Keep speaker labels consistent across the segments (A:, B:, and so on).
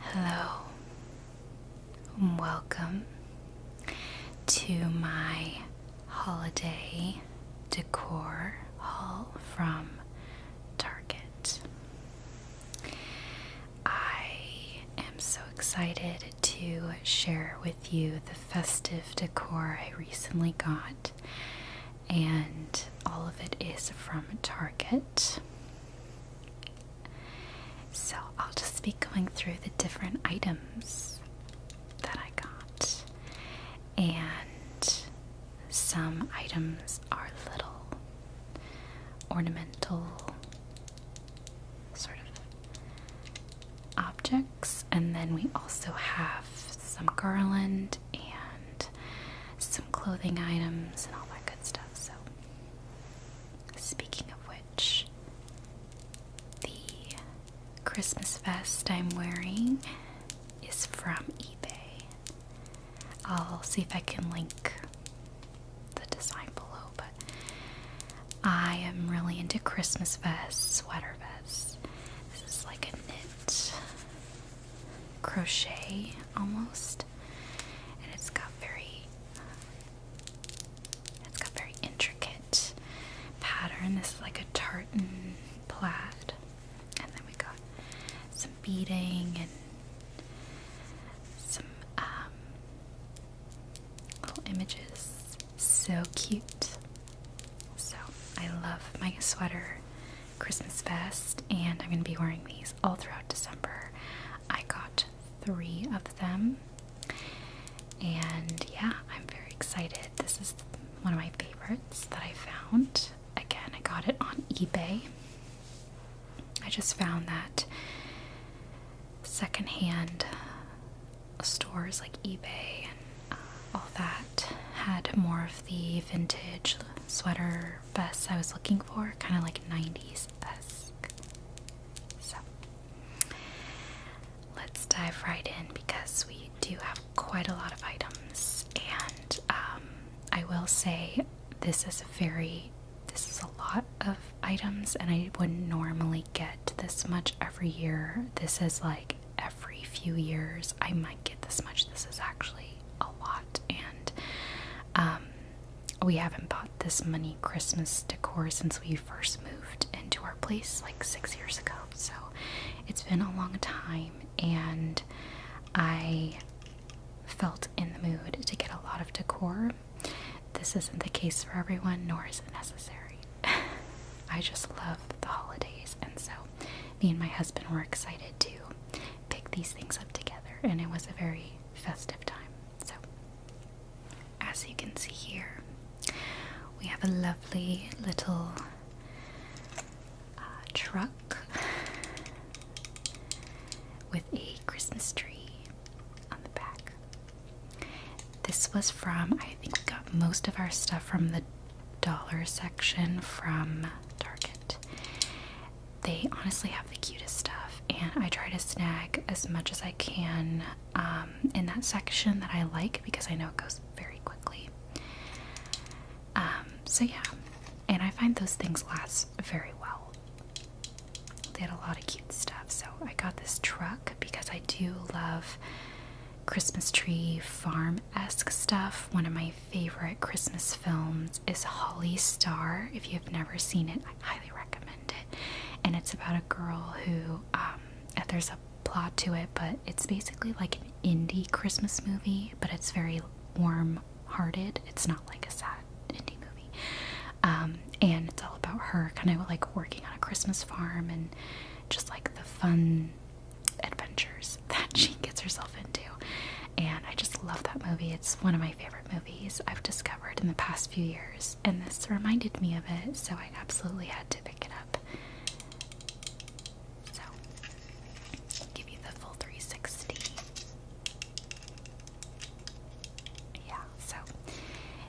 A: Hello, welcome to my holiday decor haul from Target. I am so excited to share with you the festive decor I recently got and all of it is from Target. So I'll just be going through the different items that I got, and some items are little ornamental sort of objects, and then we also have some garland and some clothing items and all that good stuff. So, speaking of which, the Christmas vest I'm wearing is from eBay. I'll see if I can link the design below, but I am really into Christmas vests, sweater vests. This is like a knit crochet almost, and it's got very it's got very intricate pattern. This is like a tartan plaid, and then we got some beading and some um, little images. So cute. So I love my sweater Christmas vest, and I'm going to be wearing these all throughout December. I got three of them, and yeah, I'm very excited. This is one of my favorites that I found. Again, I got it on eBay. I just found that secondhand stores like eBay and uh, all that had more of the vintage sweater Bus I was looking for, kind of like 90s bus. So let's dive right in because we do have quite a lot of items, and um, I will say this is a very this is a lot of items, and I wouldn't normally get this much every year. This is like every few years I might get this much. This is actually a lot, and um, we haven't bought this many Christmas decor since we first moved into our place like six years ago. So it's been a long time, and I felt in the mood to get a lot of decor. This isn't the case for everyone, nor is it necessary. I just love the holidays, and so me and my husband were excited too pick these things up together, and it was a very festive time. So, as you can see here, we have a lovely little uh, truck with a Christmas tree on the back. This was from, I think we got most of our stuff from the dollar section from Target they honestly have the cutest stuff, and I try to snag as much as I can um, in that section that I like because I know it goes very quickly. Um, so, yeah, and I find those things last very well. They had a lot of cute stuff, so I got this truck because I do love Christmas tree farm esque stuff. One of my favorite Christmas films is Holly Star. If you've never seen it, I highly recommend it. And it's about a girl who, um, there's a plot to it, but it's basically like an indie Christmas movie, but it's very warm hearted. It's not like a sad indie movie. Um, and it's all about her kind of like working on a Christmas farm and just like the fun adventures that she gets herself into. And I just love that movie. It's one of my favorite movies I've discovered in the past few years, and this reminded me of it, so I absolutely had to pick it up. So, give you the full 360. Yeah, so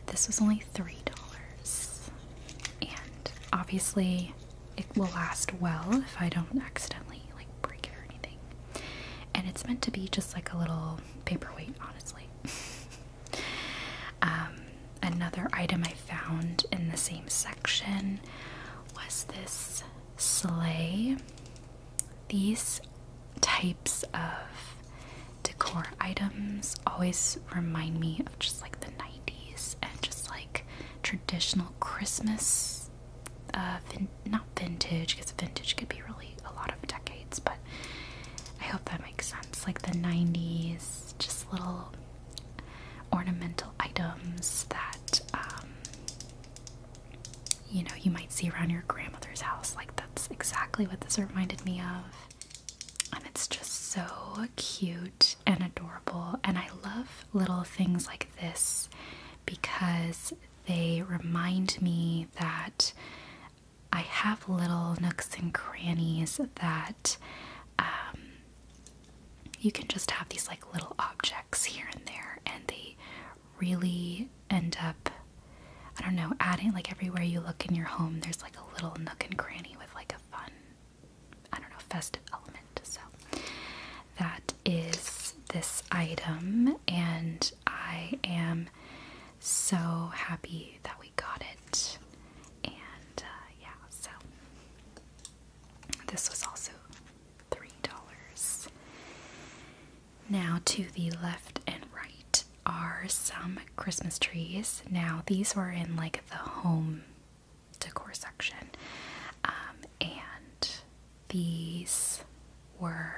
A: this was only $3. And obviously, it will last well if I don't accidentally like break it or anything. And it's meant to be just like a little paperweight, honestly. Um, another item I found in the same section was this sleigh. These types of decor items always remind me of just like the 90s and just like traditional Christmas uh, not vintage because vintage could be really a lot of decades, but I hope that makes sense. Like the 90s, just little ornamental items that um, you know you might see around your grandmother's house. Like that's exactly what this reminded me of. And it's just so cute and adorable, and I love little things like this because they remind me that I have little nooks and crannies that um, you can just have these like little objects here and there, and they really end up, I don't know, adding like everywhere you look in your home, there's like a little nook and cranny with like a fun, I don't know, festive element. So that is this item, and I am so happy that we got it. And uh, yeah, so this was also $3. Now, to the left and right are some Christmas trees. Now, these were in like the home decor section, um, and these were,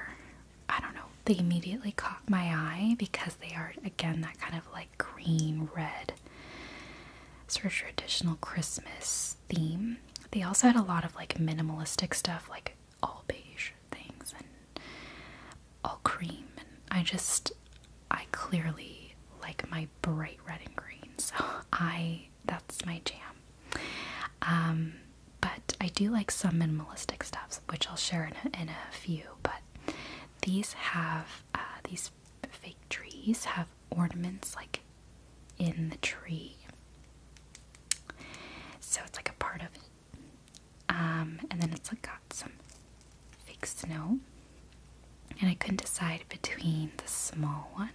A: I don't know, they immediately caught my eye because they are, again, that kind of like green, red, sort of traditional Christmas theme. They also had a lot of like minimalistic stuff, like all beige things and all cream. And I just, I clearly like my bright red and green, so I that's my jam. Um, but I do like some minimalistic stuff, which I'll share in a, few. But these have uh, these fake trees have ornaments like in the tree, so it's like a part of it. Um, and then it's like got some fake snow, and I couldn't decide between the small one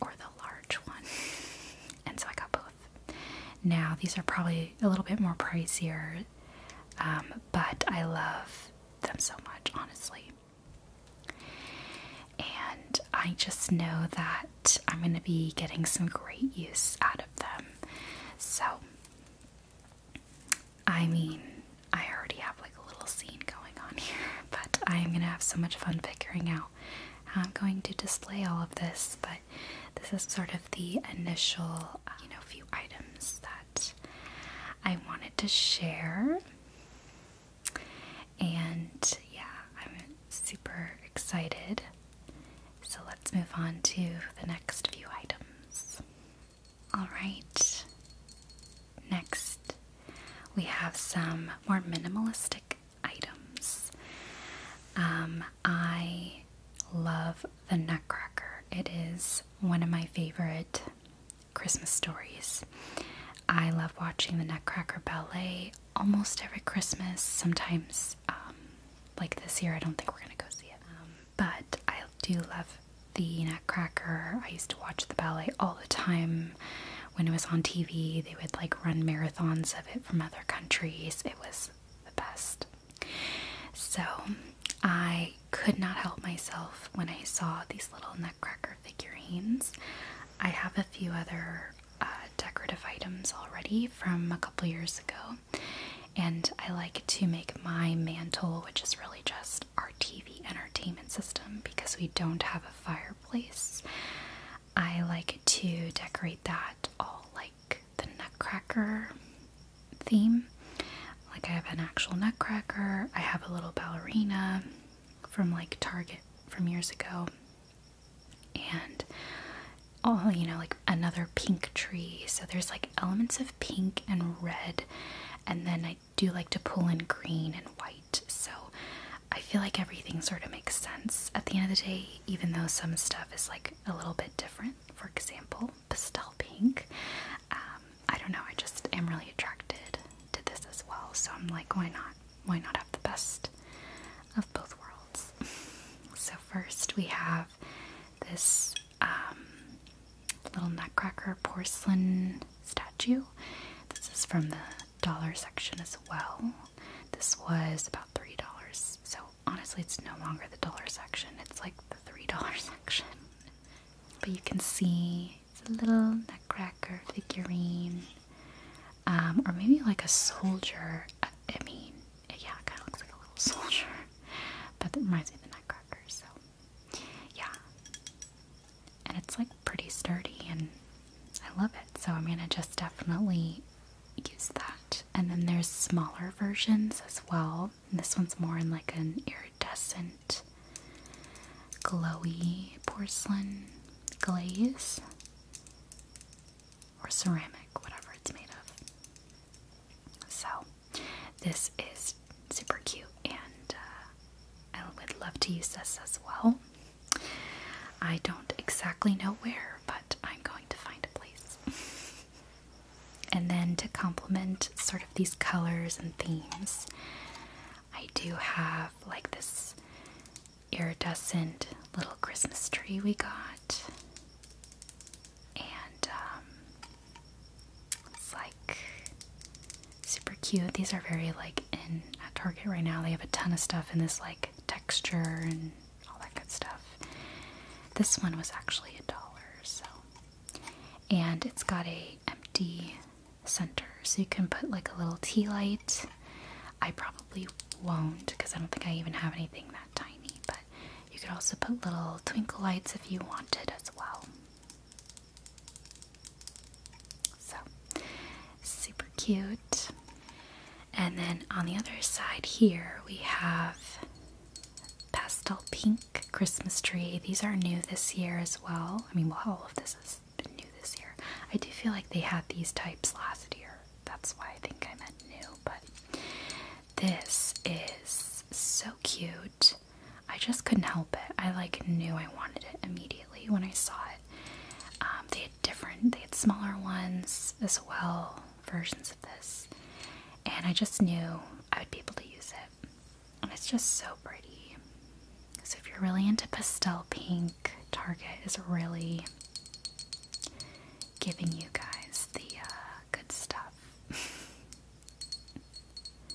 A: or the large one. and so I got both. Now, these are probably a little bit more pricier, um, but I love them so much, honestly. And I just know that I'm going to be getting some great use out of them. So, I mean, I already have like a little scene going on here, but I am going to have so much fun figuring out I'm going to display all of this, but this is sort of the initial, uh, you know, few items that I wanted to share. And yeah, I'm super excited. So let's move on to the next few items. Alright, next we have some more minimalistic items. Um, I love The Nutcracker, it is one of my favorite Christmas stories. I love watching The Nutcracker Ballet almost every Christmas, sometimes. Um, like this year, I don't think we're gonna go see it. Um, but I do love the Nutcracker. I used to watch the ballet all the time when it was on TV, they would like run marathons of it from other countries. It was the best. So I could not help myself when I saw these little nutcracker figurines. I have a few other uh, decorative items already from a couple years ago, and I like to make my mantle, which is really just our TV entertainment system because we don't have a fire Place. I like to decorate that all like the nutcracker theme. Like I have an actual nutcracker, I have a little ballerina from like Target from years ago. And oh, you know, like another pink tree. So there's like elements of pink and red, and then I do like to pull in green and white. So I feel like everything sort of makes sense at the end of the day, even though some stuff is like a little bit different. For example, pastel pink. Um, I don't know, I just am really attracted to this as well. So I'm like, why not? Why not have the best of both worlds? so, first we have this um, little nutcracker porcelain statue. This is from the dollar section as well. This was about three dollars. So honestly, it's no longer the dollar section. It's like the three dollar section. But you can see it's a little nutcracker figurine, um, or maybe like a soldier. Uh, I, mean, yeah, it kind of looks like a little soldier, but it reminds me of the nutcracker. So yeah, and it's like pretty sturdy and I love it. So I'm gonna just definitely use that. And then there's smaller versions as well. And this one's more in like an iridescent, glowy porcelain glaze or ceramic, whatever it's made of. So this is super cute and uh, I would love to use this as well. I don't exactly know where, but I'm going to find a place. and then to complement sort of these colors and themes, I do have like this iridescent little Christmas tree we got. And um, it's like super cute. These are very like in at Target right now. They have a ton of stuff in this like texture and all that good stuff. This one was actually a dollar, so and it's got a empty center, so you can put like a little tea light. I probably won't because I don't think I even have anything that tiny, but you could also put little twinkle lights if you wanted as well. So, super cute. And then on the other side here, we have pastel pink Christmas tree. These are new this year as well. I mean, well, all of this is new this year. I do feel like they had these types last year. That's why I think I meant new, but this is so cute. I just couldn't help it. I like knew I wanted it immediately when I saw it. Um, they had different, they had smaller ones as well, versions of this. And I just knew I would be able to use it. And it's just so pretty. So if you're really into pastel pink, Target is really giving you guys the uh, good stuff.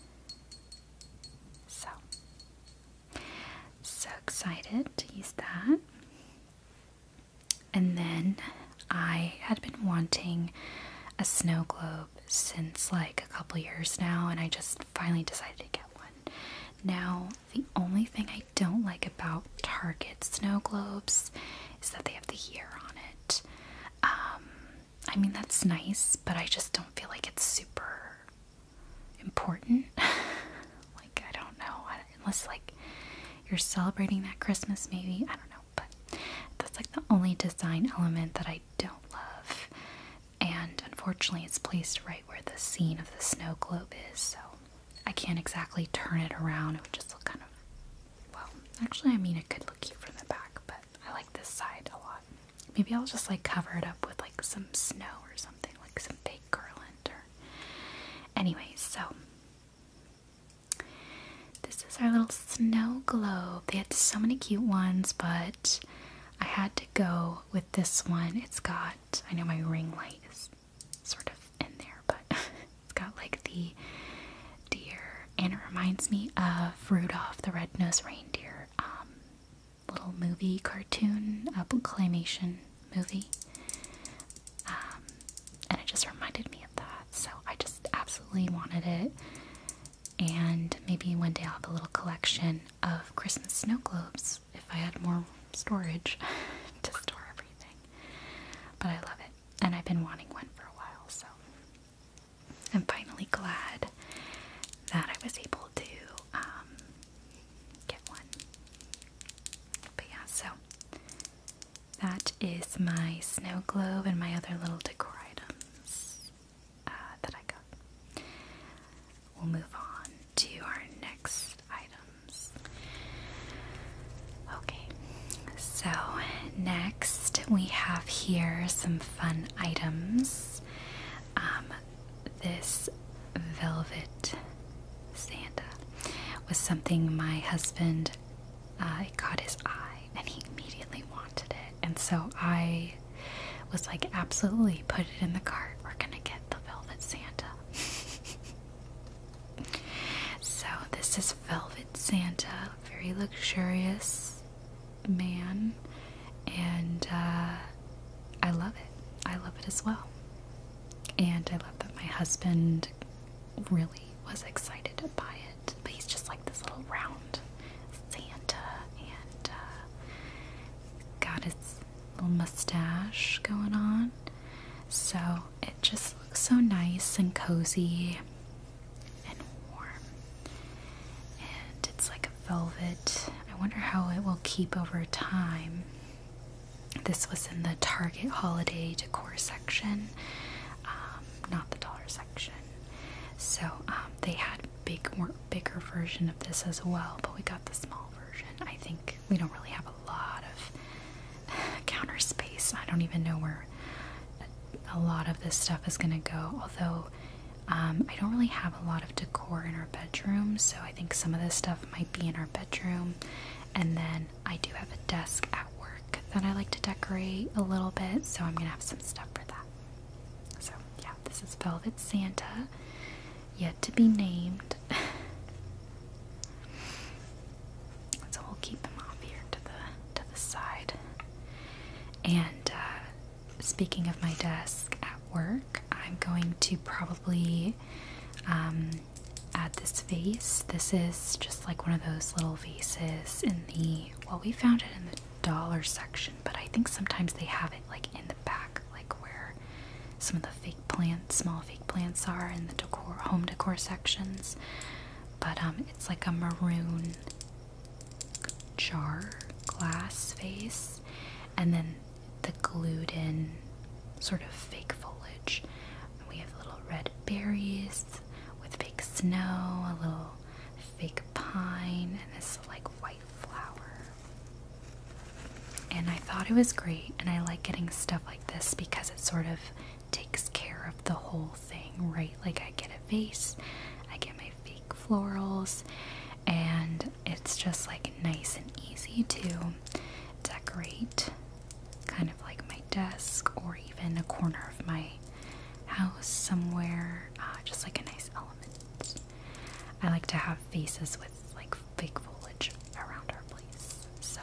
A: so so excited to use that. And then I had been wanting a snow globe since like a couple years now, and I just finally decided to get one. Now, the only thing I don't like about Target snow globes is that they have the year on it. Um, I mean, that's nice, but I just don't feel like it's super important. like, I don't know. Unless, like, you're celebrating that Christmas, maybe. I don't know. But that's like the only design element that I don't love. And unfortunately, it's placed right where the scene of the snow globe is. So I can't exactly turn it around. It would just look kind of. Well, actually, I mean, it could look cute from the back, but I like this side a lot. Maybe I'll just like cover it up with like some snow or something, like some fake garland or. Anyways, so. This is our little snow globe. They had so many cute ones, but I had to go with this one. It's got, I know my ring light is sort of in there, but it's got like the deer, and it reminds me of Rudolph the Red-Nosed Reindeer um, little movie cartoon, a claymation movie. Um, and it just reminded me of that. So I just absolutely wanted it. And maybe one day I'll have a little collection of Christmas snow globes if I had more storage to store everything. But I love it. And I've been wanting one for a while, so I'm finally glad that I was able to um, get one. But yeah, so that is my snow globe and my other little decor items uh, that I got. We'll move on to our next items. Okay, so next we have here some fun items. Um, this velvet Santa was something my husband uh, caught his eye and he immediately wanted it and so I was like absolutely put it in the cart we're gonna get the velvet Santa so this is velvet Santa very luxurious man and uh, I love it. I love it as well. And I love that my husband really was excited by it. But he's just like this little round Santa and uh, got his little mustache going on. So it just looks so nice and cozy and warm. And it's like velvet. I wonder how it will keep over time. This was in the Target holiday decor section, um, not the dollar section. So um, they had big, bigger version of this as well, but we got the small version. I think we don't really have a lot of counter space. I don't even know where a lot of this stuff is going to go. Although um, I don't really have a lot of decor in our bedroom, so I think some of this stuff might be in our bedroom. And then I do have a desk at work that I like to decorate a little bit, so I'm gonna have some stuff for that. So, yeah, this is Velvet Santa, yet to be named. so we'll keep him off here to the to the side. And uh, speaking of my desk at work, I'm going to probably um, add this vase. This is just like one of those little vases in the, well, we found it in the dollar section, but I think sometimes they have it like in the back, like where some of the fake plants, small fake plants are in the decor, home decor sections. But um, it's like a maroon jar glass vase, and then the glued in sort of fake foliage. We have little red berries with fake snow, a little fake pine, and this like white flower. And I thought it was great, and I like getting stuff like this because it sort of takes care of the whole thing, right? Like I get a vase, I get my fake florals, and it's just like nice and easy to decorate kind of like my desk or even a corner of my house somewhere, uh, just like a nice element. I like to have faces with like fake foliage around our place. So,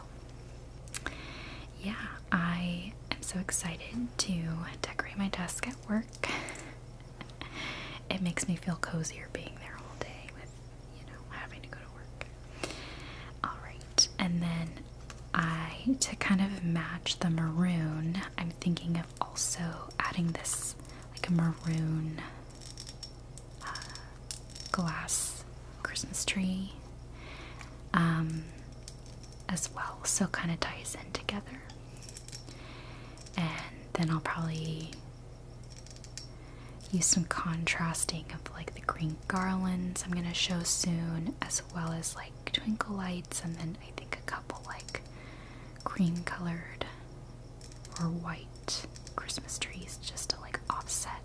A: yeah, I am so excited to decorate my desk at work. it makes me feel cozier being there all day with, you know, having to go to work. Alright, and then I, to kind of match the maroon, I'm thinking of also adding this like a maroon uh, glass Christmas tree um, as well, so kind of ties in together. And then I'll probably Use some contrasting of like the green garlands I'm gonna show soon, as well as like twinkle lights, and then I think a couple like cream colored or white Christmas trees just to like offset.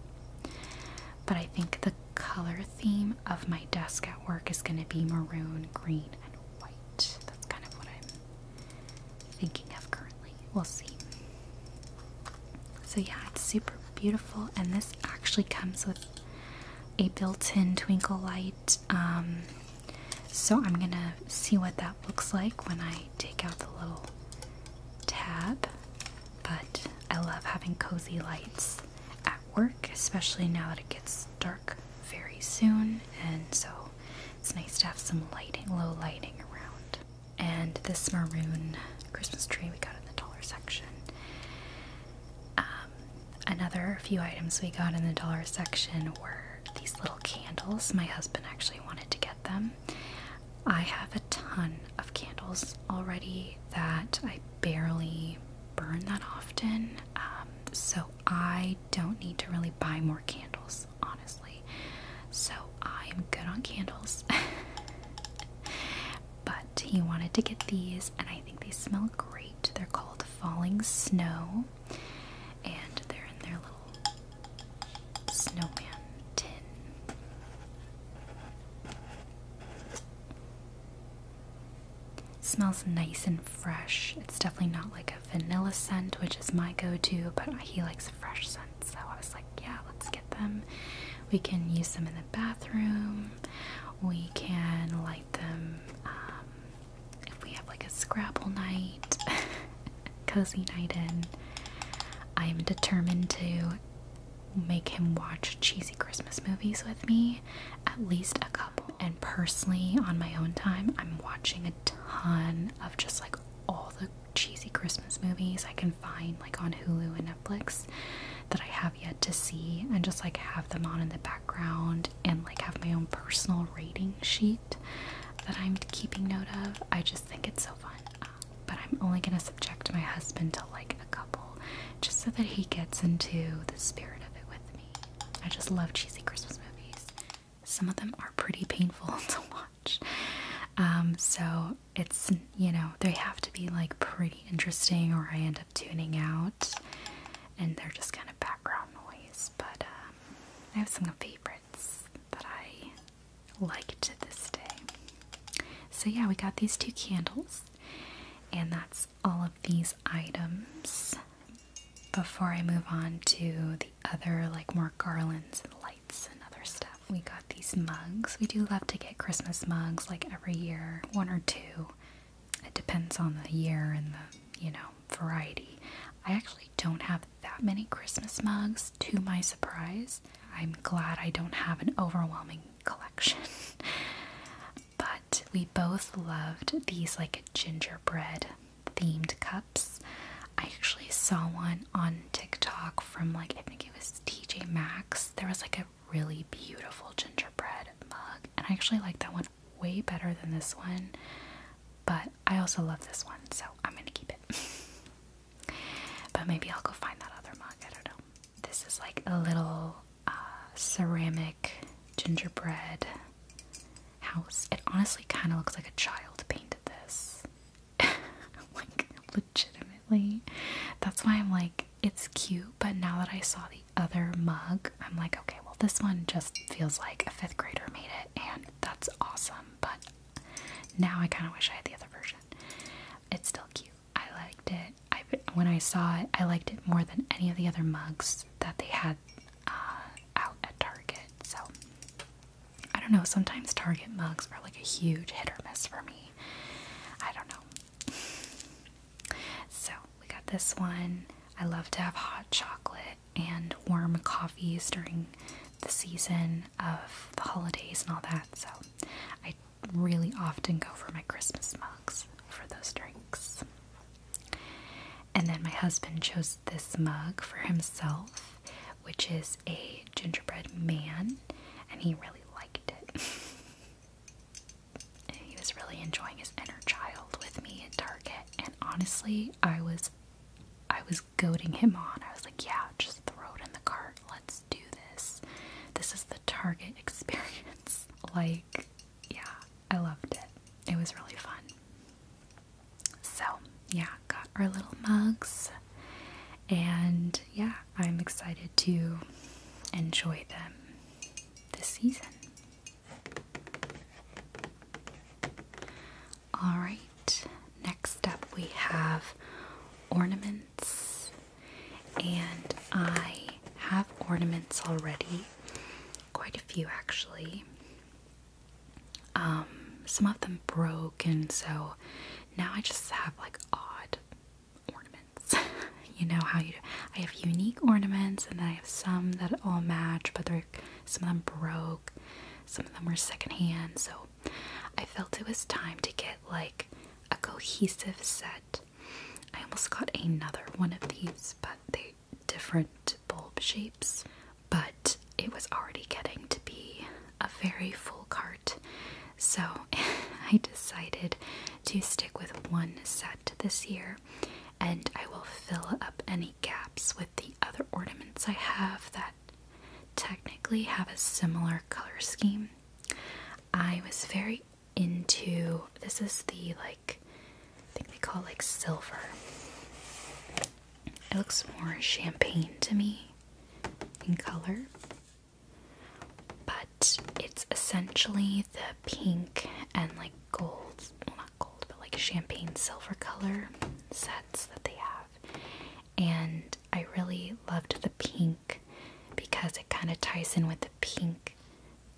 A: But I think the color theme of my desk at work is gonna be maroon, green, and white. That's kind of what I'm thinking of currently. We'll see. So, yeah, it's super beautiful, and this actually comes with a built in twinkle light. Um, so, I'm gonna see what that looks like when I take out the little tab. But I love having cozy lights at work, especially now that it gets dark very soon, and so it's nice to have some lighting, low lighting around. And this maroon Christmas tree we got in the dollar section. Um, another few items we got in the dollar section were these little candles. My husband actually wanted to get them. I have a ton of candles already that I barely burn that often, um, so I don't need to really buy more candles honestly. So I'm good on candles. but he wanted to get these, and I think they smell great. They're called Falling Snow, and they're in their little snowman tin. smells nice and fresh. It's definitely not like vanilla scent, which is my go-to, but he likes fresh scent. so I was like, yeah, let's get them. We can use them in the bathroom. We can light them um, if we have like a Scrabble night, cozy night in. I am determined to make him watch cheesy Christmas movies with me, at least a couple. And personally, on my own time, I'm watching a ton of just like all the cheesy Christmas movies I can find like on Hulu and Netflix that I have yet to see and just like have them on in the background and like have my own personal rating sheet that I'm keeping note of. I just think it's so fun. Uh, but I'm only going to subject my husband to like a couple just so that he gets into the spirit of it with me. I just love cheesy Christmas movies. Some of them are pretty painful to watch. Um, so it's, you know, they have to be like pretty interesting or I end up tuning out and they're just kind of background noise. But um, I have some favorites that I like to this day. So yeah, we got these two candles and that's all of these items. Before I move on to the other, like more garlands and lights and other stuff. We got these mugs. We do love to get Christmas mugs like every year, one or two. It depends on the year and the, you know, variety. I actually don't have that many Christmas mugs, to my surprise. I'm glad I don't have an overwhelming collection. but we both loved these like gingerbread themed cups. I actually saw one on TikTok from like I think it was TJ Maxx. There was like a really beautiful gingerbread mug, and I actually like that one way better than this one. But I also love this one, so I'm gonna keep it. but maybe I'll go find that other mug. I don't know. This is like a little uh, ceramic gingerbread house. It honestly kind of looks like a child painted this. like, legitimately. That's why I'm like, it's cute, but now that I saw the other mug, I'm like, okay, well, this one just feels like a fifth grader made it, and that's awesome. But now I kind of wish I had the other version. It's still cute. I liked it. I, when I saw it, I liked it more than any of the other mugs that they had uh, out at Target. So I don't know, sometimes Target mugs are like a huge hit or miss for me. I don't know. so, we got this one. I love to have hot chocolate and warm coffees during the season of the holidays and all that, so I really often go for my Christmas mugs for those drinks. And then my husband chose this mug for himself which is a gingerbread man, and he really liked it. he was really enjoying his inner child with me at Target, and honestly, I was I was goading him on. I was like, yeah, just throw it in the cart. Let's do this. This is the Target experience. like, yeah, I loved it. It was really fun. So, yeah, got our little mugs. And yeah, I'm excited to enjoy them this season. Alright, next up we have ornaments. And I have ornaments already, quite a few actually. Um, some of them broke, and so now I just have like odd ornaments. you know how you I have unique ornaments, and then I have some that all match, but they're some of them broke, some of them were secondhand. So I felt it was time to get like a cohesive set. I almost got another one of these, but they different bulb shapes but it was already getting to be a very full cart, so I decided to stick with one set this year and I will fill up any gaps with the other ornaments I have that technically have a similar color scheme. I was very into this is the like I think they call it like silver it looks more champagne to me in color, but it's essentially the pink and like gold, well, not gold, but like champagne silver color sets that they have. And I really loved the pink because it kind of ties in with the pink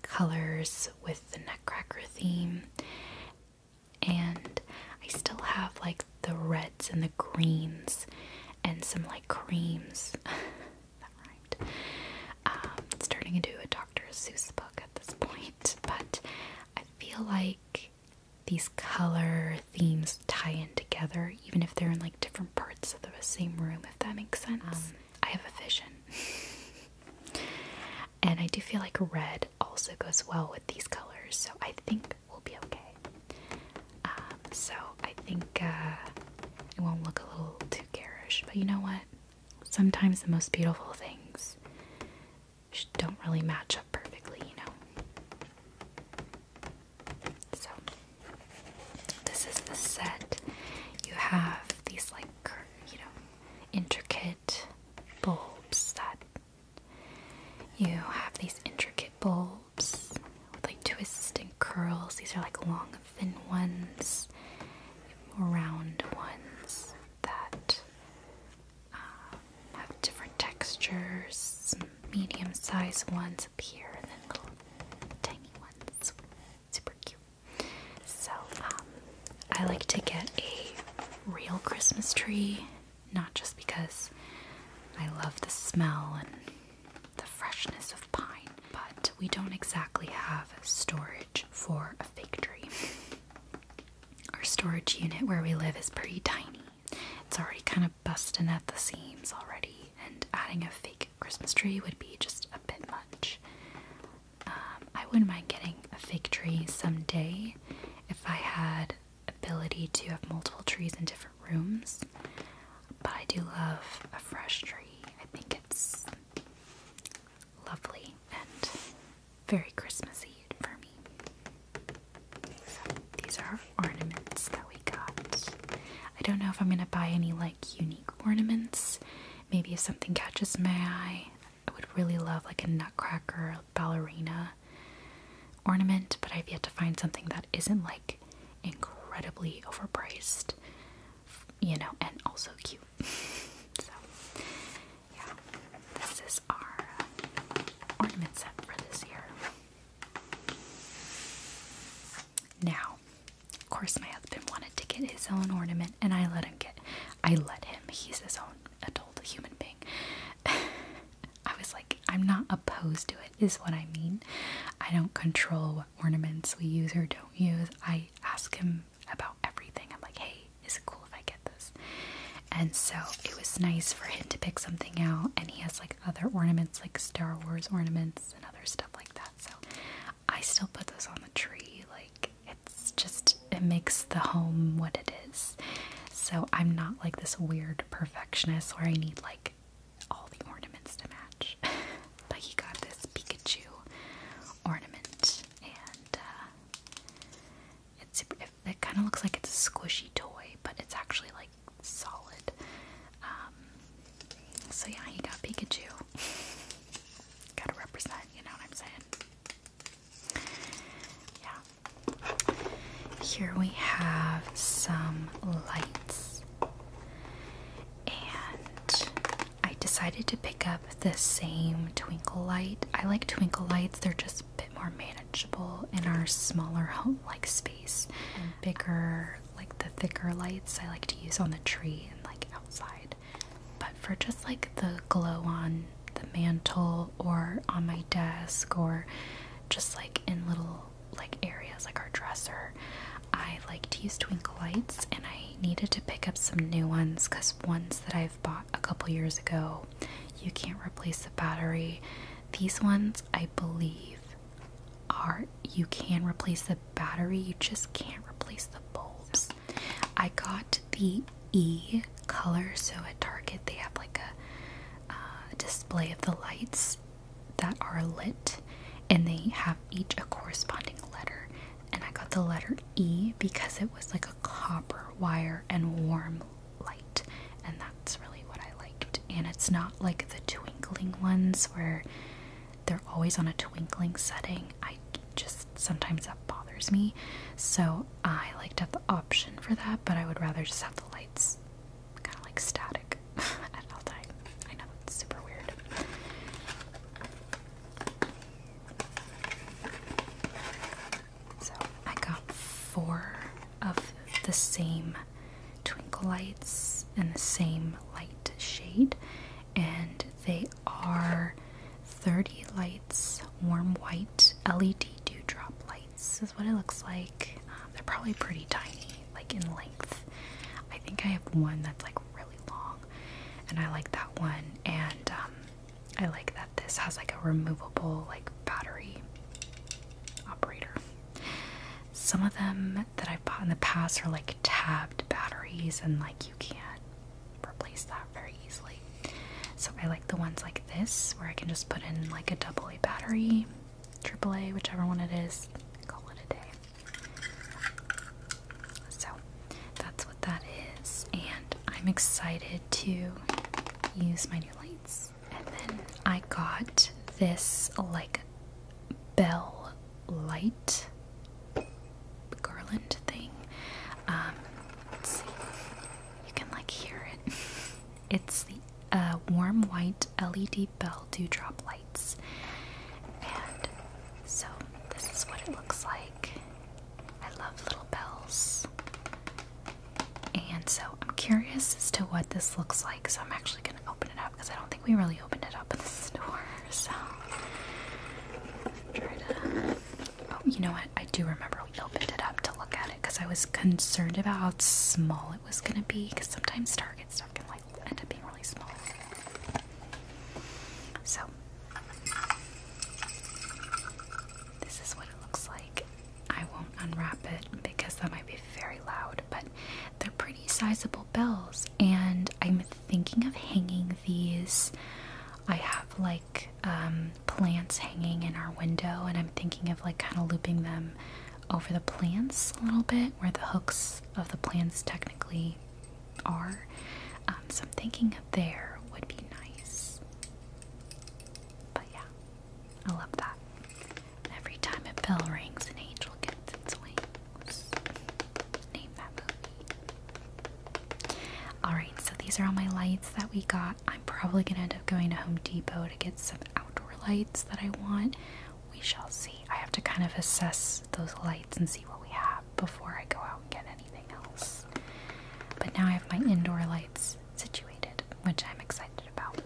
A: colors with the Nutcracker theme and I still have like the reds and the greens and some like creams. that rhymed. it's um, turning into a Dr. Seuss book at this point, but I feel like these color themes tie in together, even if they're in like different parts of the same room, if that makes sense. Um, I have a vision. and I do feel like red also goes well with these colors, so I think we'll be okay. Um, so I think uh, it won't look a little too garish, but you know what? Sometimes the most beautiful things don't really match up perfectly, you know. So this is the set. You have these like you know intricate bulbs that you have these intricate bulbs with like twists and curls. These are like long, thin ones, round ones that um, have different textures. Medium sized ones up here, and then little tiny ones. Super cute. So, um, I like to get a real Christmas tree not just because I love the smell and the freshness of pine, but we don't exactly have storage for a fake tree. Our storage unit where we live is pretty tiny. It's already kind of busting at the seams already, and adding a fake Christmas tree would be just a bit much. Um, I wouldn't mind getting a fake tree someday if I had ability to have multiple trees in different rooms, but I do love a fresh tree. I think it's lovely and very Christmassy for me. these are ornaments that we got. I don't know if I'm gonna buy any like unique ornaments. Maybe if something catches my eye, I would really love like a nutcracker ballerina ornament, but I've yet to find something that isn't like incredibly overpriced, you know, and also cute. so, yeah, this is our uh, ornament set for this year. Now, of course, my husband wanted to get his own ornament, and I let him get. I let him. He's his own adult human being. I was like, I'm not opposed to it, is what I mean. I don't control what ornaments we use or don't use. I ask him about everything. I'm like, hey, is it cool if I get this? And so it was nice for him to pick something out, and he has like other ornaments, like Star Wars ornaments and other stuff like that. So I still put those on the tree. Like, it's just it makes the home what it is. So I'm not like this weird perfectionist where I need like all the ornaments to match. but he got this Pikachu ornament and uh, it's it, kind of looks like it's a squishy toy, but it's actually like solid. Um, so yeah, he got Pikachu. Gotta represent, you know what I'm saying? Yeah. Here we have some lights, and I decided to pick up the same twinkle light. I like twinkle lights, they're just a bit more manageable in our smaller home like space. And bigger, like the thicker lights, I like to use on the tree and like outside. But for just like the glow on the mantle or on my desk or just like in little like areas like our dresser. I like to use twinkle lights and I needed to pick up some new ones because ones that I've bought a couple years ago, you can't replace the battery. These ones, I believe, are you can replace the battery, you just can't replace the bulbs. I got the E color. So at Target, they have like a uh, display of the lights that are lit, and they have each a corresponding letter. And I got the letter E because it was like a copper wire and warm light, and that's really what I liked. And it's not like the twinkling ones where they're always on a twinkling setting. I just sometimes that bothers me, so I like to have the option for that, but I would rather just have the lights kind of like static at all time. I know it's super weird. So I got four of the same twinkle lights and the same light shade, and they are 30 lights, warm white LED dewdrop lights is what it looks like. Um, they're probably pretty tiny, like in length. I think I have one that's like really long, and I like that one. And um, I like that this has like a removable like battery operator. Some of them that I've bought in the past are like tabbed batteries, and like you can't replace that very easily. So I like the ones like this where I can just put in like a double A battery, AAA, whichever one it is, call it a day. So that's what that is, and I'm excited to use my new lights. And then I got this like bell light garland thing. Um, let's see. You can like hear it. It's the uh, warm white LED bell dewdrop lights. And so this is what it looks like. I love little bells. And so I'm curious as to what this looks like. So I'm actually going to open it up because I don't think we really opened it up in the store. So try to. Oh, you know what? I do remember opened it up to look at it because I was concerned about how small it was gonna be because sometimes Target stuff can like end up being really small. So this is what it looks like. I won't unwrap it because that might be very loud, but they're pretty sizable bells, and I'm thinking of hanging these. I have like um, plants hanging in our window, and I'm thinking of like kind of looping them over the plants a little bit where the hooks of the plants technically are. Um, so I'm thinking there would be nice. But yeah, I love that. Every time a bell rings, an angel gets its wings. Name that movie. Alright, so these are all my lights that we got. I'm probably going to end up going to Home Depot to get some outdoor lights that I want. We shall see. I have to kind of assess those lights and see what we have before I go out and get anything else. But now I have my indoor lights situated, which I'm excited about.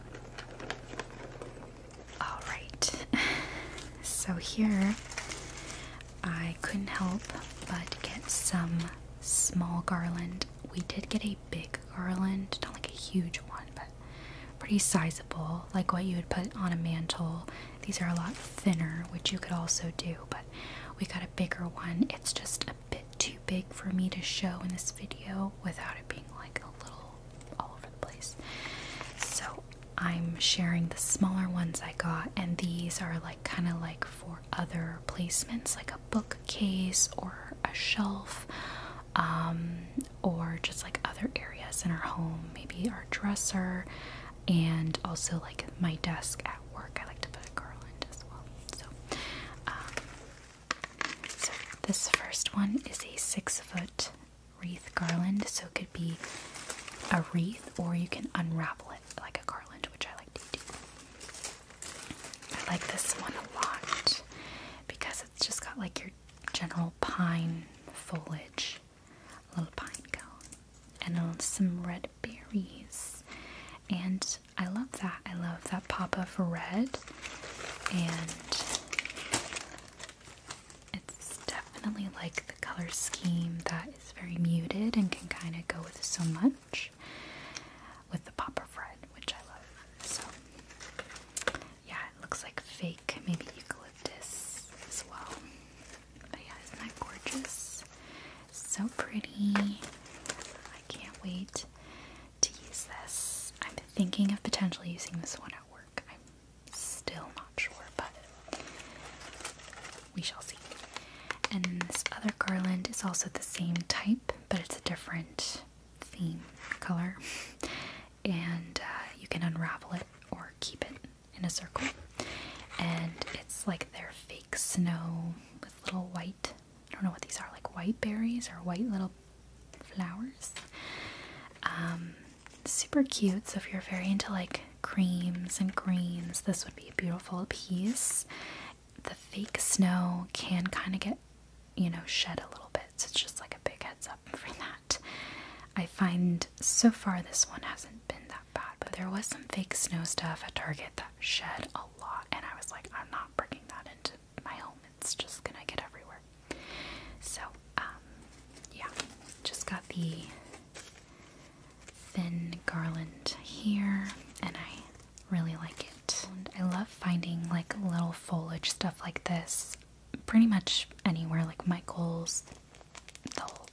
A: Alright, so here I couldn't help but get some small garland we did get a big garland, not like a huge one, but pretty sizable, like what you would put on a mantle. These are a lot thinner, which you could also do, but we got a bigger one. It's just a bit too big for me to show in this video without it being like a little all over the place. So I'm sharing the smaller ones I got, and these are like kind of like for other placements like a bookcase or a shelf um, or just like other areas in our home, maybe our dresser and also like my desk at work. I like to put a garland as well. Um, so, this first one is a six foot wreath garland, so it could be a wreath or you can unravel it like a garland, which I like. I like this one a lot because it's just got like your general pine foliage, a little pine cone, and some red berries. And I love that. I love that pop of red, and it's definitely like the color scheme that is very muted and can kind of go with so much with the pop of red, which I love. So, yeah, it looks like fake, maybe eucalyptus as well. But yeah, isn't that gorgeous? So pretty. I can't wait to use this. I'm thinking of potentially using this one at work. I'm still not sure, but we shall see. And this other garland is also the same type, but it's a different theme color. And uh, you can unravel it or keep it in a circle. And it's like their fake snow with little white, I don't know what these are, like white berries or white little flowers. Um, super cute. So if you're very into like creams and greens, this would be a beautiful piece the fake snow can kind of get, you know, shed a little bit. So it's just like a big heads up for that. I find so far this one hasn't been that bad, but there was some fake snow stuff at Target that shed a lot, and I was like, I'm not bringing that into my home. It's just gonna get everywhere. So, um, yeah, just got the thin garland here, and I Really like it. I love finding like little foliage stuff like this pretty much anywhere like Michael's, all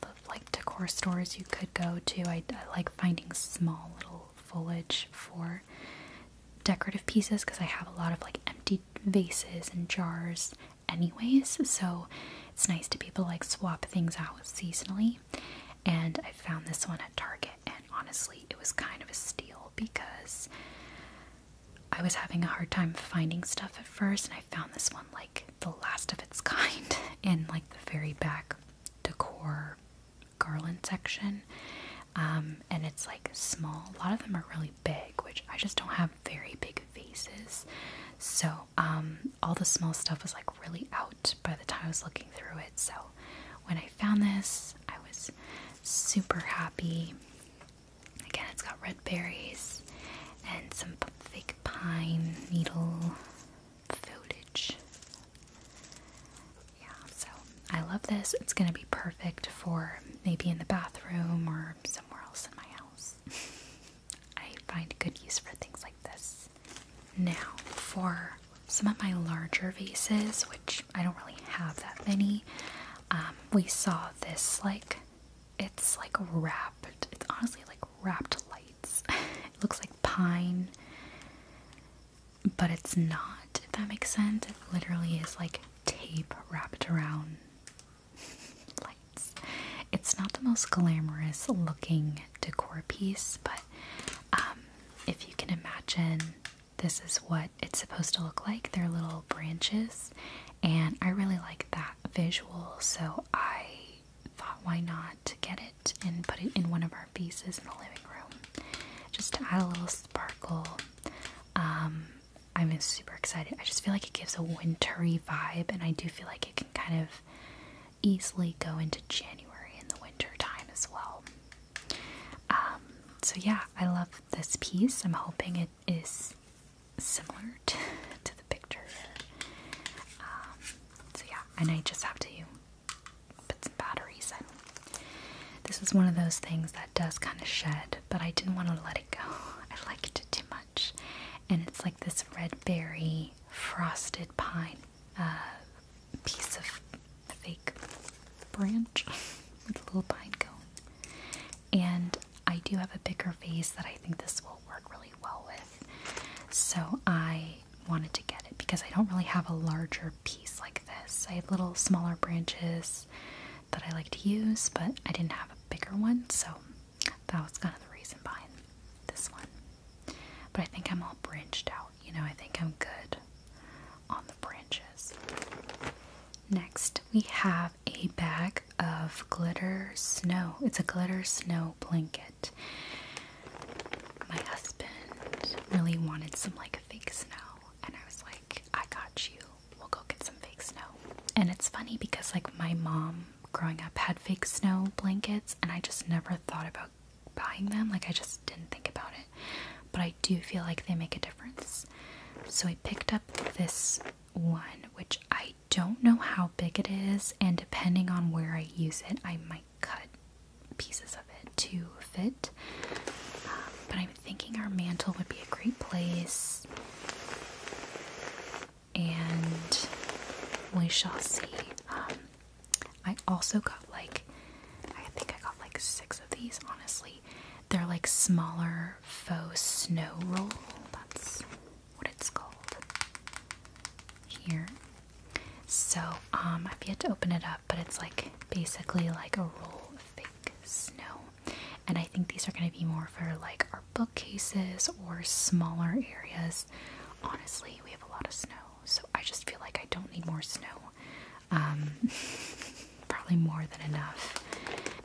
A: the like decor stores you could go to. I, I like finding small little foliage for decorative pieces because I have a lot of like empty vases and jars anyways so it's nice to be able to like swap things out seasonally and I found this one at Target. And honestly, it was kind of a steal because I was having a hard time finding stuff at first, and I found this one like the last of its kind in like the very back decor garland section. Um, and it's like small. A lot of them are really big, which I just don't have very big vases. So um, all the small stuff was like really out by the time I was looking through it. So when I found this, I was super happy. Again, it's got red berries and some fake pine needle foliage. Yeah, so I love this. It's going to be perfect for maybe in the bathroom or somewhere else in my house. I find good use for things like this. Now, for some of my larger vases, which I don't really have that many, um, we saw this like it's like wrapped, it's honestly like wrapped lights. it looks like pine, but it's not, if that makes sense. It literally is like tape wrapped around lights. It's not the most glamorous looking decor piece, but um, if you can imagine, this is what it's supposed to look like. They're little branches, and I really like that visual, so I thought, why not get it and put it in one of our pieces in the living room just to add a little sparkle. Um, I'm super excited. I just feel like it gives a wintry vibe, and I do feel like it can kind of easily go into January in the winter time as well. Um, so yeah, I love this piece. I'm hoping it is similar to, the picture. Um, so yeah, and I just have to put some batteries in. This is one of those things that does kind of shed, but I didn't want to let it go. I liked it too much. And it's like this red berry frosted pine uh, piece of fake branch with a little pine cone. And I do have a bigger vase that I think this will work really well with. So I wanted to get it because I don't really have a larger piece like this. I have little smaller branches that I like to use, but I didn't have a bigger one, so that was kind of the reason behind this one. But I think I'm all branched out, you know, I think I'm good on the branches. Next, we have a bag of glitter snow. It's a glitter snow blanket. My husband really wanted some like fake snow, and I was like, I got you. We'll go get some fake snow. And it's funny because like my mom growing up had fake snow blankets, and I just never thought about buying them. Like I just didn't think about it. But I do feel like they make a difference. So I picked up this one, which I don't know how big it is, and depending on where I use it, I might cut pieces of it to fit. Um, but I'm thinking our mantle would be a great place, and we shall see. Um, I also got like, I think I got like six of these, honestly. They're like smaller faux snow roll. That's what it's called here. So, um, I've yet to open it up, but it's like basically like a roll of fake snow. And I think these are going to be more for like our bookcases or smaller areas. Honestly, we have a lot of snow so I just feel like I don't need more snow. Um, probably more than enough.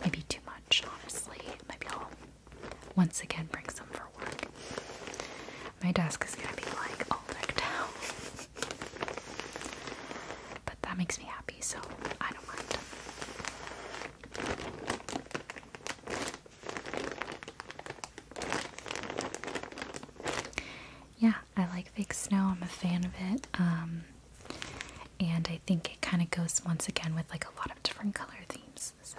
A: Maybe too much, honestly. Maybe I'll once again bring some for work. My desk is gonna be like all decked out. but that makes me happy, so I don't mind. Yeah, I like fake snow. I'm a fan of it. Um, and I think it kind of goes once again with like a lot of different color themes. So,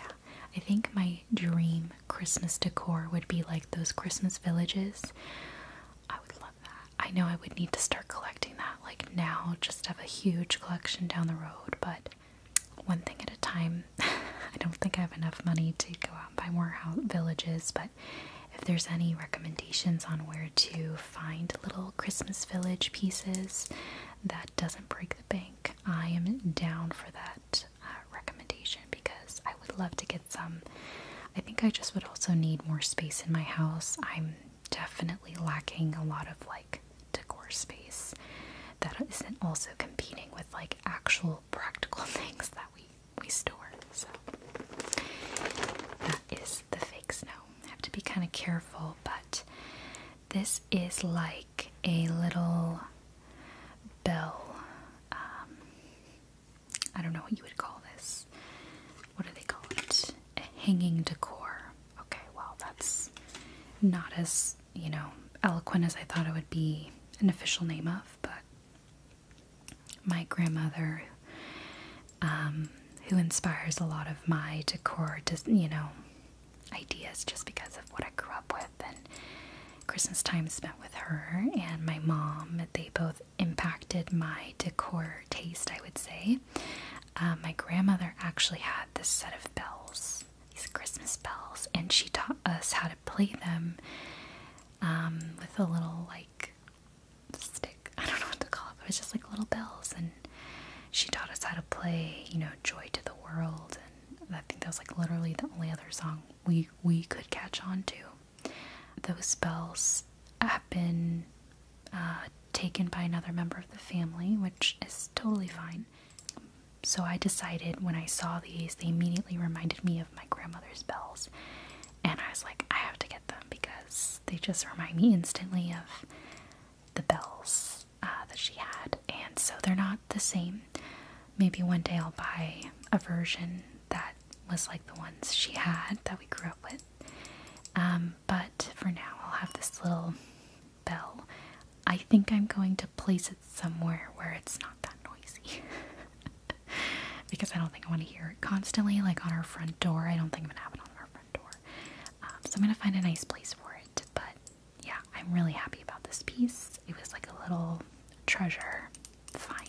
A: yeah. I think my dream Christmas decor would be like those Christmas villages. I would love that. I know I would need to start collecting that like now, just have a huge collection down the road, but one thing at a time. I don't think I have enough money to go out and buy more villages, but if there's any recommendations on where to find little Christmas village pieces that doesn't break the bank, I am down for that uh, recommendation because I would love to get some. I think I just would also need more space in my house. I'm definitely lacking a lot of like decor space that isn't also competing with like actual practical things that we we store. So that is the fake snow. I have to be kind of careful, but this is like a little bell. Um, I don't know what you would call this. What do they call it? hanging decor. Okay, well, that's not as you know, eloquent as I thought it would be an official name of, but my grandmother, um, who inspires a lot of my decor, just, you know, ideas just because of what I grew up with and Christmas time spent with her and my mom. They both impacted my decor taste, I would say. Uh, my grandmother actually had this set of bells, these Christmas bells, and she taught us how to play them um, with a little like stick. I don't know what to call it. it was just like little bells, and she taught us how to play. You know, "Joy to the World," and I think that was like literally the only other song we we could catch on to. Those bells have been uh, taken by another member of the family, which is totally fine. So I decided when I saw these, they immediately reminded me of my grandmother's bells. And I was like, I have to get them because they just remind me instantly of the bells uh, that she had. And so they're not the same. Maybe one day I'll buy a version that was like the ones she had that we grew up with. Um, but for now, I'll have this little bell. I think I'm going to place it somewhere where it's not that noisy. because I don't think I want to hear it constantly, like on our front door. I don't think I'm going to have it on our front door. Um, so I'm going to find a nice place for it. But yeah, I'm really happy about this piece. It was like a little treasure find.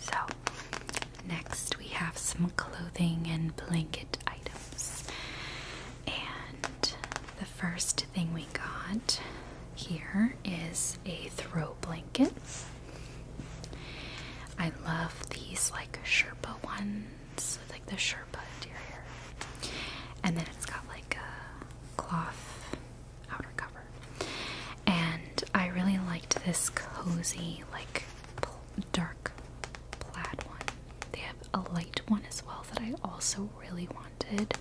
A: So, next we have some clothing and blanket items. And the first thing we got here is a throw blanket. I love these like Sherpa ones, with, like the Sherpa interior. And then it's got like a cloth outer cover. And I really liked this cozy, like dark plaid one. They have a light one as well that I also really wanted.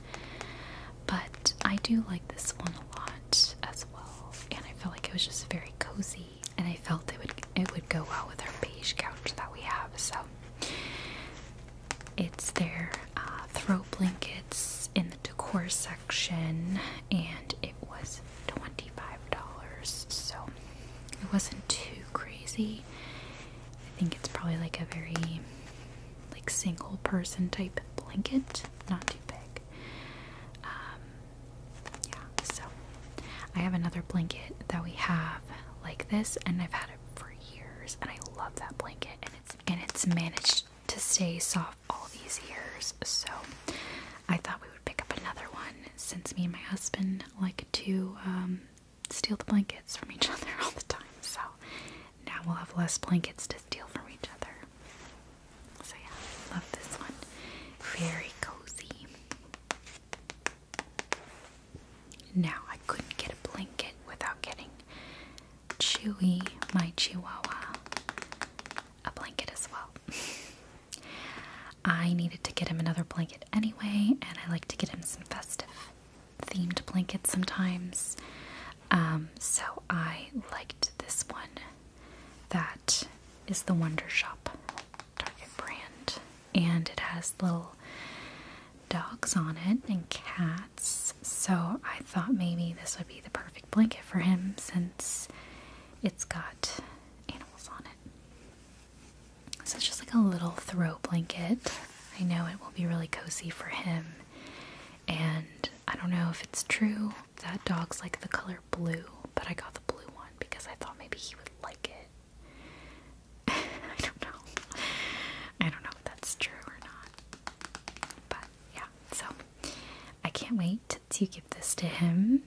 A: But I do like this one a lot as well. And I felt like it was just very cozy and I felt it would it would go well with our beige couch that we have. So it's their uh, throw blankets in the decor section and was $25, so it wasn't too crazy. I think it's probably like a very like single person type blanket, not too big. Um, yeah, so I have another blanket that we have like this, and I've had it for years, and I love that blanket, and it's and it's managed to stay soft all these years. So I thought we would pick up another one since me and my husband like to um, steal the blankets from each other all the time. So now we'll have less blankets to steal from each other. So yeah, love this one. Very cozy. Now I couldn't get a blanket without getting Chewy, my Chihuahua, a blanket as well. I needed to get him another blanket anyway, and I like to get him some festive themed blankets sometimes. Um, so I liked this one. That is the Wonder Shop Target brand, and it has little dogs on it and cats. So I thought maybe this would be the perfect blanket for him since it's got animals on it. So it's just like a little throw blanket. I know it will be really cozy for him. And I don't know if it's true that dogs like the color blue, but I got the blue one because I thought maybe he would like it. I don't know. I don't know if that's true or not. But yeah, so I can't wait to give this to him.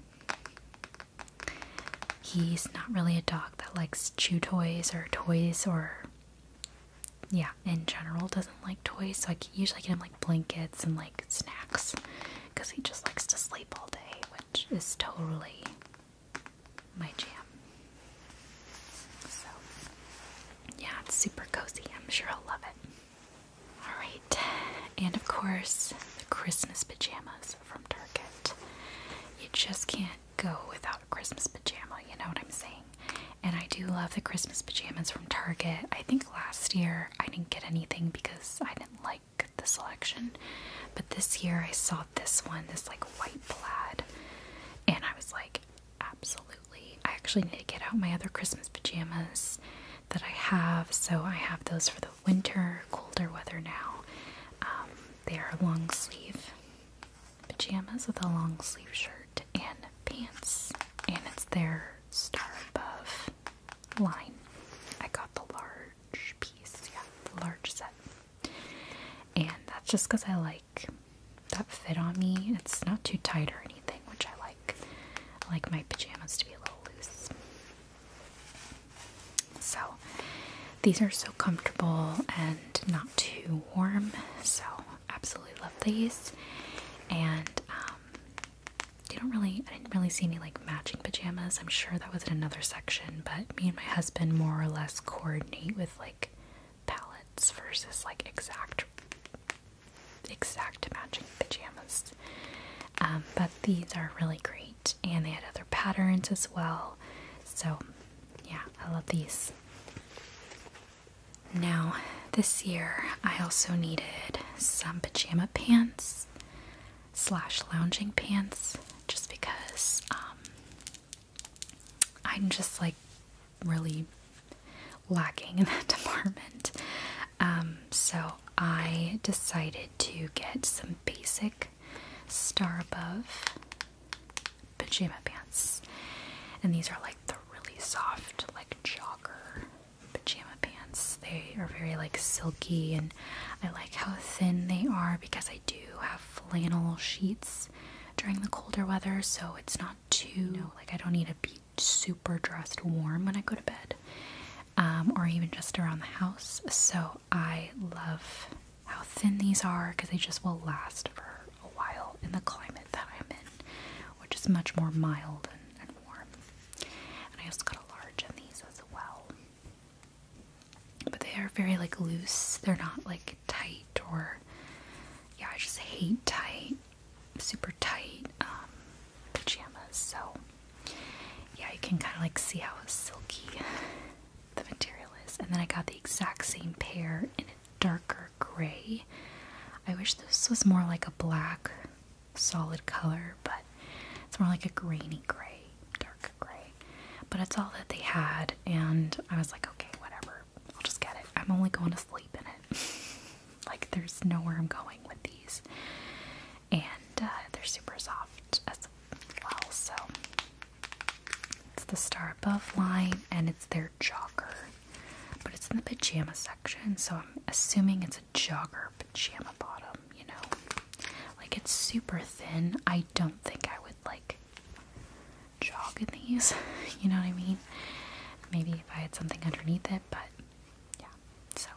A: He's not really a dog that likes chew toys or toys or yeah, in general doesn't like toys. So I usually get him like blankets and like snacks because he just likes to sleep all day, which is totally my jam. So yeah, it's super cozy. I'm sure he'll love it. Alright, and of course, the Christmas pajamas from Target. You just can't go without a Christmas pajama, you know what I'm saying? And I do love the Christmas pajamas from Target. I think last year I didn't get anything because I didn't like the selection, but this year I saw this one, this like white plaid, and I was like, absolutely. I actually need to get out my other Christmas pajamas that I have, so I have those for the winter, colder weather now, um, they are long sleeve pajamas with a long sleeve shirt and pants, and it's their star above line. I got the large piece, yeah, the large set, and that's just because I like that fit on me. It's not too tight or anything, which I like. I like my pajamas to be a little loose. So these are so comfortable and not too warm. So absolutely love these. And um, they don't really, I didn't really see any like matching pajamas. I'm sure that was in another section, but me and my husband more or less coordinate with like palettes versus like exact exact matching pajamas. Um, but these are really great, and they had other patterns as well. So, yeah, I love these. Now, this year I also needed some pajama pants slash lounging pants just because um, I'm just like really lacking in that department. Um, so I decided to get some basic Star Above pajama pants. And these are like the really soft, like jogger pajama pants. They are very like silky and I like how thin they are because I do have flannel sheets during the colder weather, so it's not too like I don't need to be super dressed warm when I go to bed. Um, or even just around the house. So I love how thin these are because they just will last for a while in the climate that I'm in, which is much more mild and, warm. And I also got a large in these as well. But they are very like loose, they're not like tight or yeah, I just hate tight, super tight um, pajamas. So yeah, you can kind of like see how silky the material is. And then I got the exact same pair in a darker gray. I wish this was more like a black solid color, but it's more like a grainy gray, dark gray. But it's all that they had, and I was like, okay, whatever, I'll just get it. I'm only going to sleep in it. like, there's nowhere I'm going with these and uh, they're super soft as well. So it's the Star Above line, and it's their jogger, but it's in the pajama section, so I'm assuming it's a jogger pajama bottom. You know, like it's super thin. I don't think I would like jog in these. you know what I mean? Maybe if I had something underneath it, but yeah. So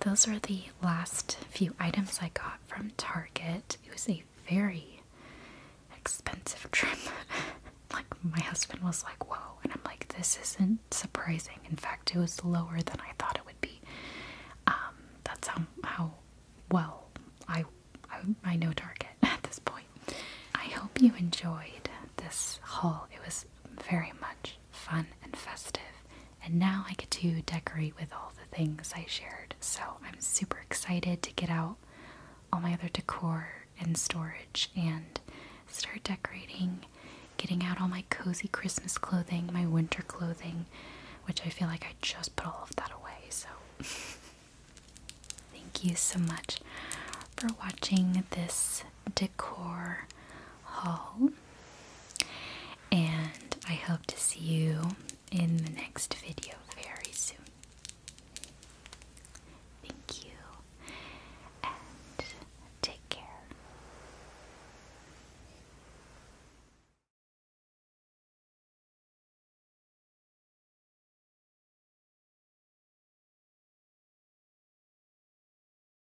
A: those were the last few items I got from Target. It was a very expensive trip. like, my husband was like, Whoa, and I'm like, This isn't surprising. In fact, it was lower than I thought it would be. Um, that's how, how well I, I know Target at this point. I hope you enjoyed this haul. It was very much fun and festive and now I get to decorate with all the things I shared. So I'm super excited to get out all my other decor and storage and start decorating, getting out all my cozy Christmas clothing, my winter clothing, which I feel like I just put all of that away. So thank you so much for watching this decor haul. And I hope to see you in the next video very soon. Thank you and take care.